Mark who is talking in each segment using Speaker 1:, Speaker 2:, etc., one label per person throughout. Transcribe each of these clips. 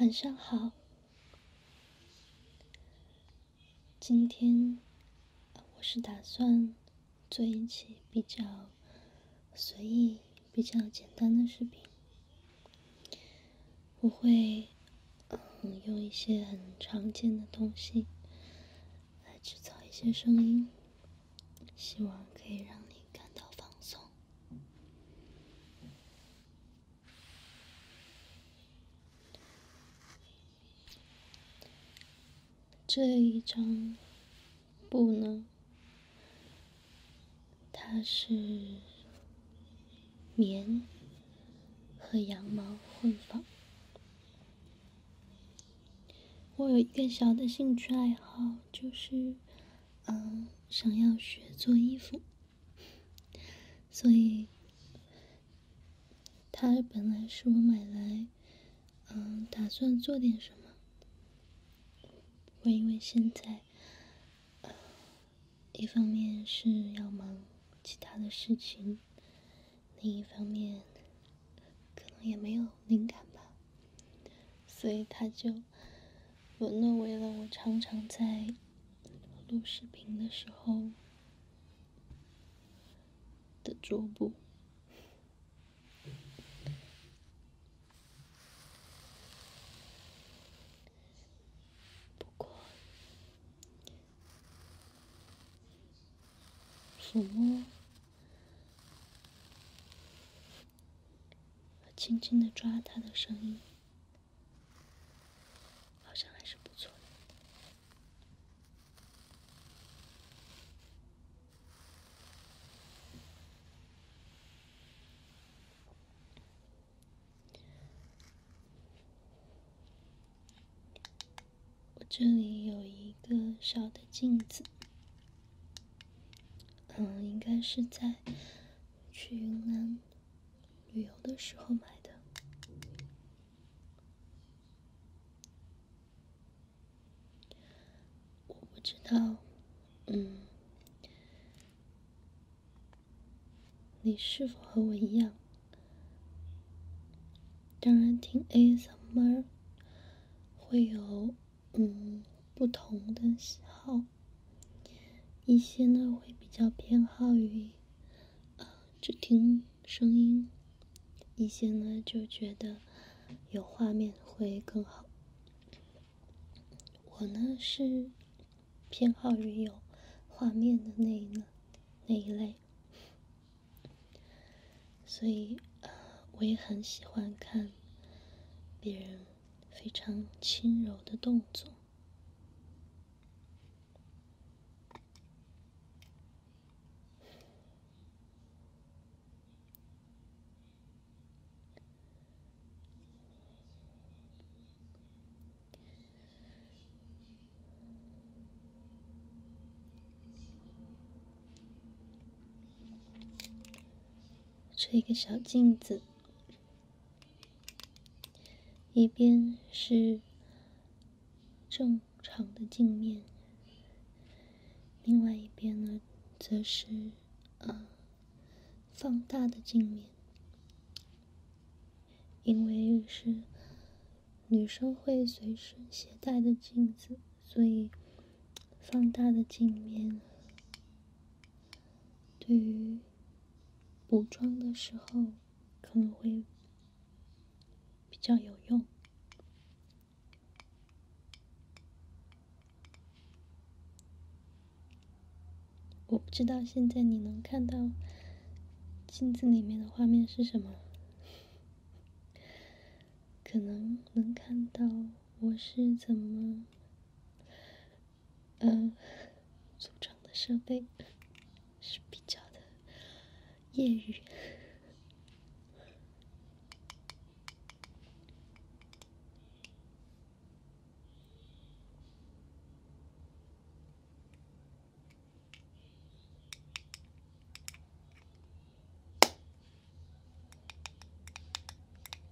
Speaker 1: 晚上好，今天我是打算做一期比较随意、比较简单的视频。我会嗯用一些很常见的东西来制造一些声音，希望可以让你感到放松。这一张布呢，它是棉和羊毛混纺。我有一个小的兴趣爱好，就是。嗯，想要学做衣服，所以他本来是我买来，嗯，打算做点什么。我因为现在，一方面是要忙其他的事情，另一方面可能也没有灵感吧。所以，它就沦落为了我常常在录视频的时候的桌布。不过，抚摸。我轻轻的抓他的声音，好像还是不错的。我这里有一个小的镜子，嗯，应该是在。去云南旅游的时候买的，我不知道，嗯，你是否和我一样？当然，听《a Summer》会有。嗯，不同的喜好，一些呢会比较偏好于呃，只听声音，一些呢就觉得有画面会更好。我呢是偏好于有画面的那一呢那一类，所以呃我也很喜欢看别人。非常轻柔的动作，这一个小镜子。一边是正常的镜面，另外一边呢，则是呃放大的镜面。因为是女生会随身携带的镜子，所以放大的镜面。对于补妆的时候，可能会比较有用。我不知道现在你能看到镜子里面的画面是什么，可能能看到我是怎么。嗯，组装的设备是比较的业余。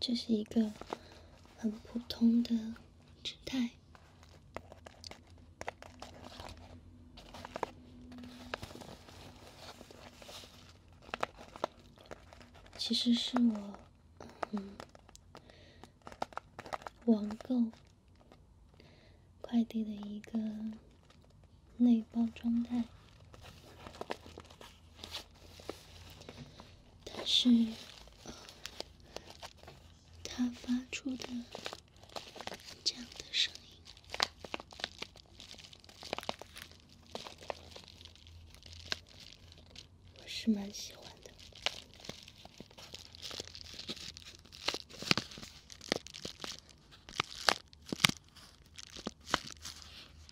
Speaker 1: 这是一个很普通的纸袋，其实是我嗯网购快递的一个内包装袋。但是，他发出的这样的声音，我是蛮喜欢的。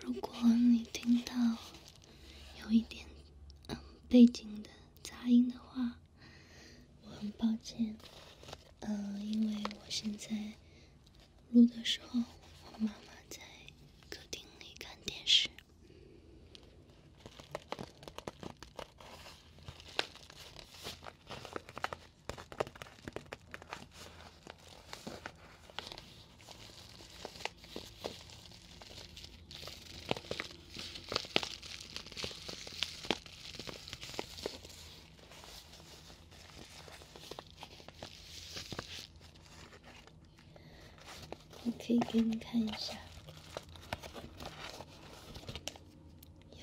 Speaker 1: 如果你听到有一点嗯背景的杂音的话，我很抱歉，呃，因为我现在录的时候，我妈妈在客厅里看电视。我可以给你看一下，有。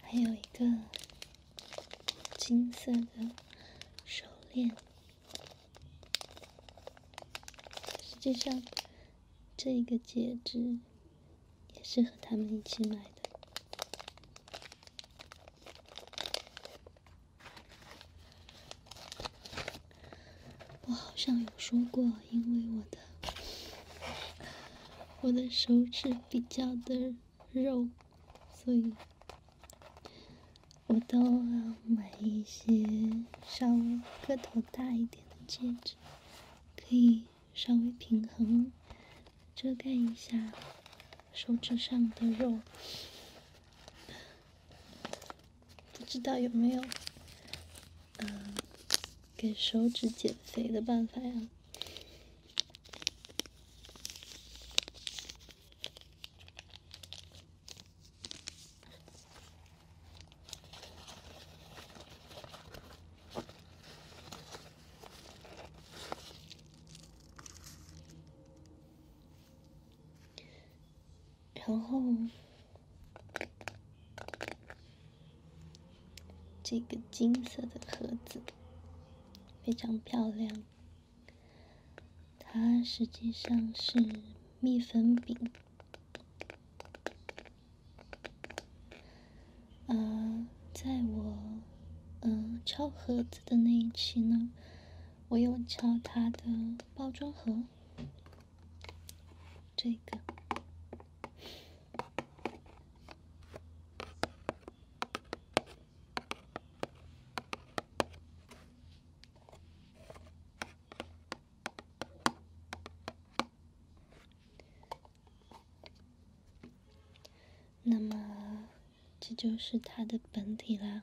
Speaker 1: 还有一个金色的手链，实际上这个戒指。也是和他们一起买的。我好像有说过，因为我的我的手指比较的肉，所以，我都要买一些稍微个头大一点的戒指，可以。稍微平衡，遮盖一下手指上的肉，不知道有没有嗯，给手指减肥的办法呀？然后，这个金色的盒子非常漂亮，它实际上是蜜粉饼。呃，在我嗯敲盒子的那一期呢，我有敲它的包装盒，这个。那么，这就是它的本体啦。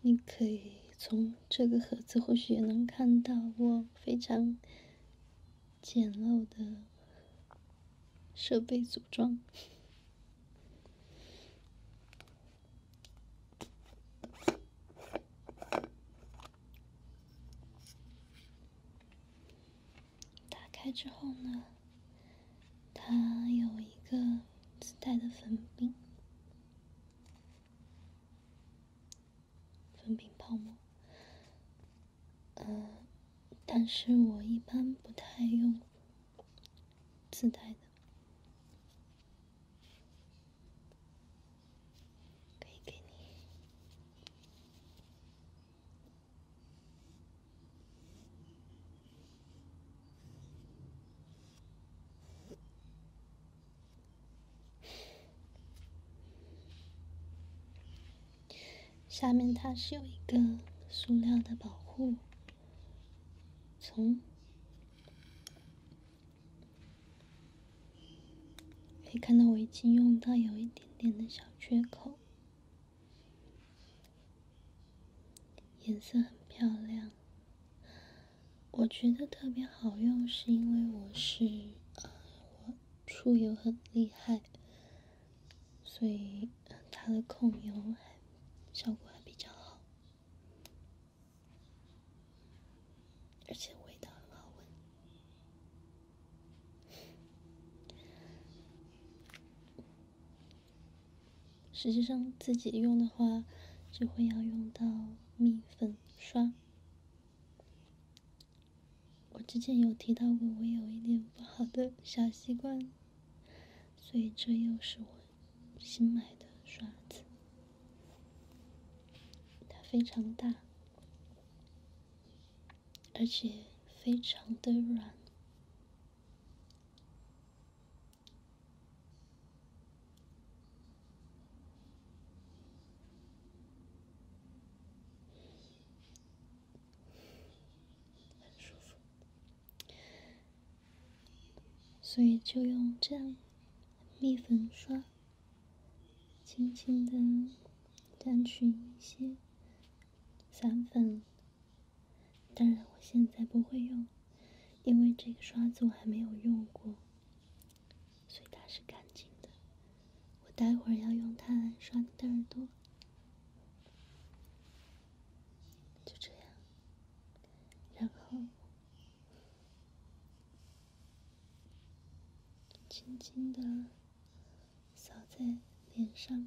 Speaker 1: 你可以从这个盒子，或许也能看到我非常简陋的设备组装。打开之后呢？它有一个自带的粉饼，粉饼泡沫，呃，但是我一般不太用自带的，可以给你。下面它是有一个塑料的保护，从可以看到我已经用到有一点点的小缺口。颜色很漂亮，我觉得特别好用，是因为我是呃，我出油很厉害，所以它的控油还效果还比较好，而且味道很好闻。实际上自己用的话，就会要用到蜜粉刷。我之前有提到过，我有一点不好的小习惯，所以这又是我新买的刷子。它非常大，而且非常的软。很舒服，所以就用这样蜜粉刷，轻轻的沾取一些散粉。当然，我现在不会用，因为这个刷子我还没有用过，所以它是干净的。我待会儿要用它来刷你的耳朵，就这样，然后轻轻的扫在脸上。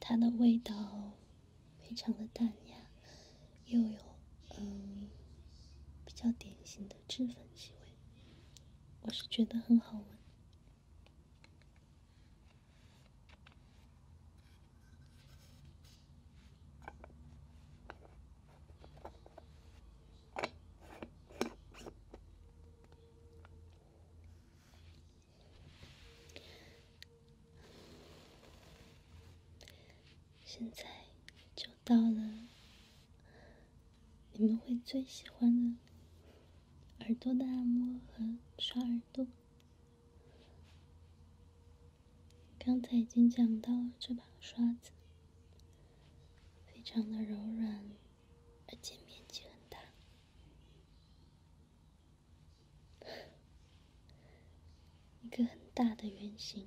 Speaker 1: 它的味道非常的淡雅，又有嗯比较典型的脂粉气味，我是觉得很好闻。现在就到了你们会最喜欢的耳朵的按摩和刷耳朵。刚才已经讲到，了这把刷子非常的柔软，而且面积很大。一个很大的圆形。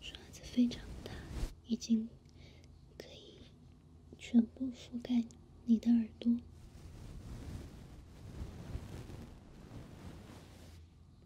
Speaker 1: 刷子非常大，已经可以全部覆盖你的耳朵。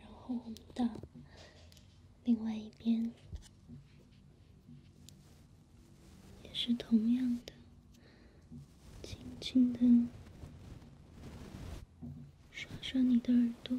Speaker 1: 然后我们到另外一边，也是同样的，轻轻的刷刷你的耳朵。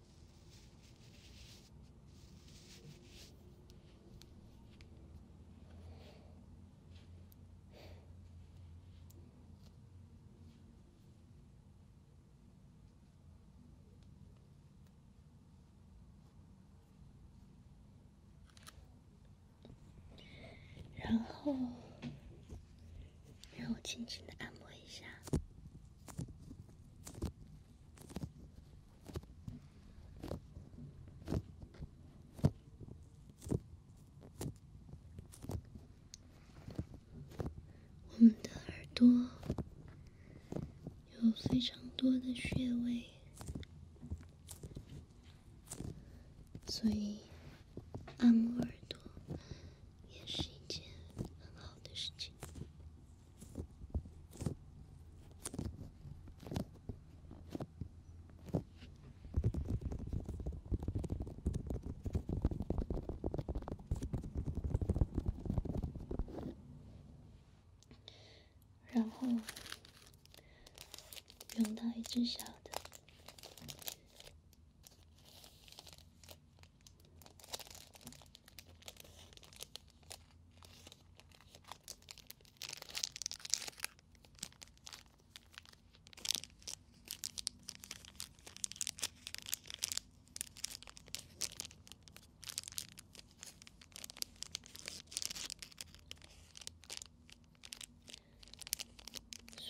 Speaker 1: 然后，让我轻轻地按摩一下。我们的耳朵有非常多的穴位，所以按摩耳朵也是一件很好的事情。然后，用到一只小的。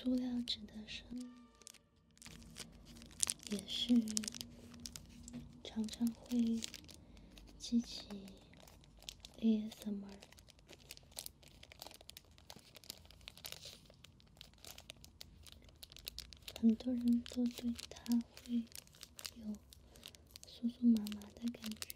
Speaker 1: 塑料纸的声音。也是常常会激起 ASMR，很多人都对他会有酥酥麻麻的感觉。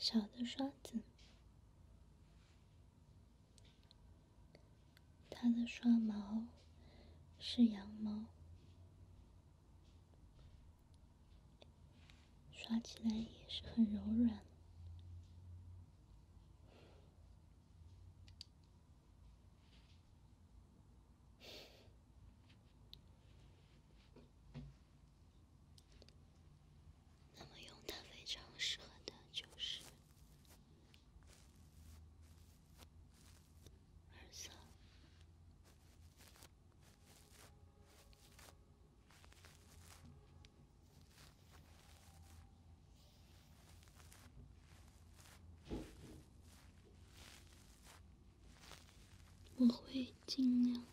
Speaker 1: 小的刷子，它的刷毛是羊毛。刷起来也是很柔软，那么用它非常适合的就是。耳塞，我会尽量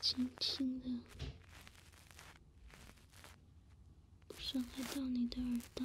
Speaker 1: 轻轻地，不伤害到你的耳道。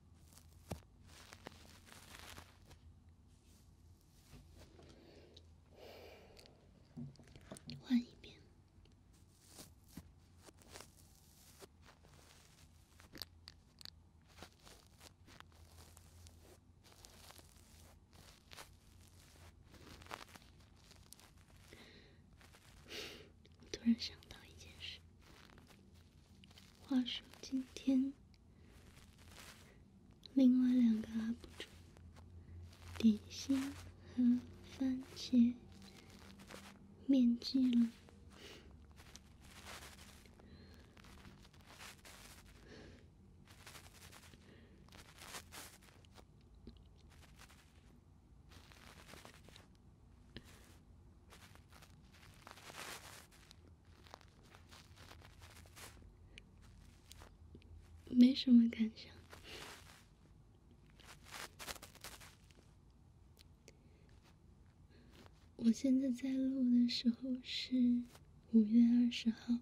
Speaker 1: 换一遍。突然想到一件事。话说今天，另外两个 UP 主点心和番茄面基了。没什么感想。我现在在录的时候是五月二十号。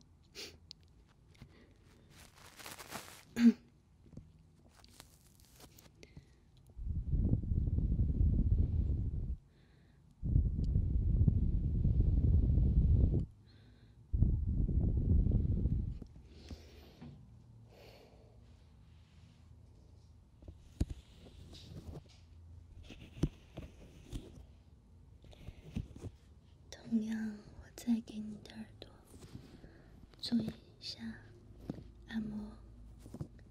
Speaker 1: 同样，我再给你的耳朵做一下按摩。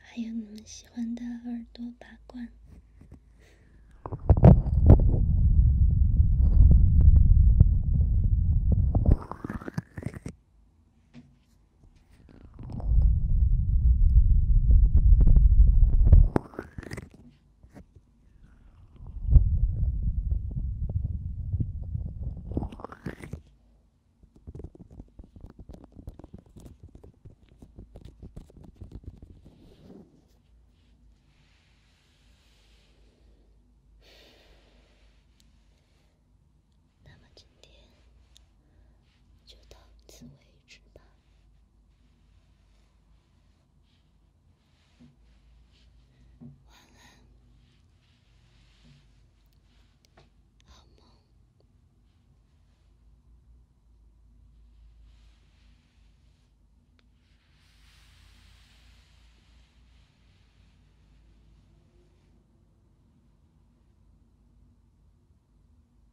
Speaker 1: 还有你们喜欢的耳朵拔罐。那么今天就到此为止吧。晚安，好梦。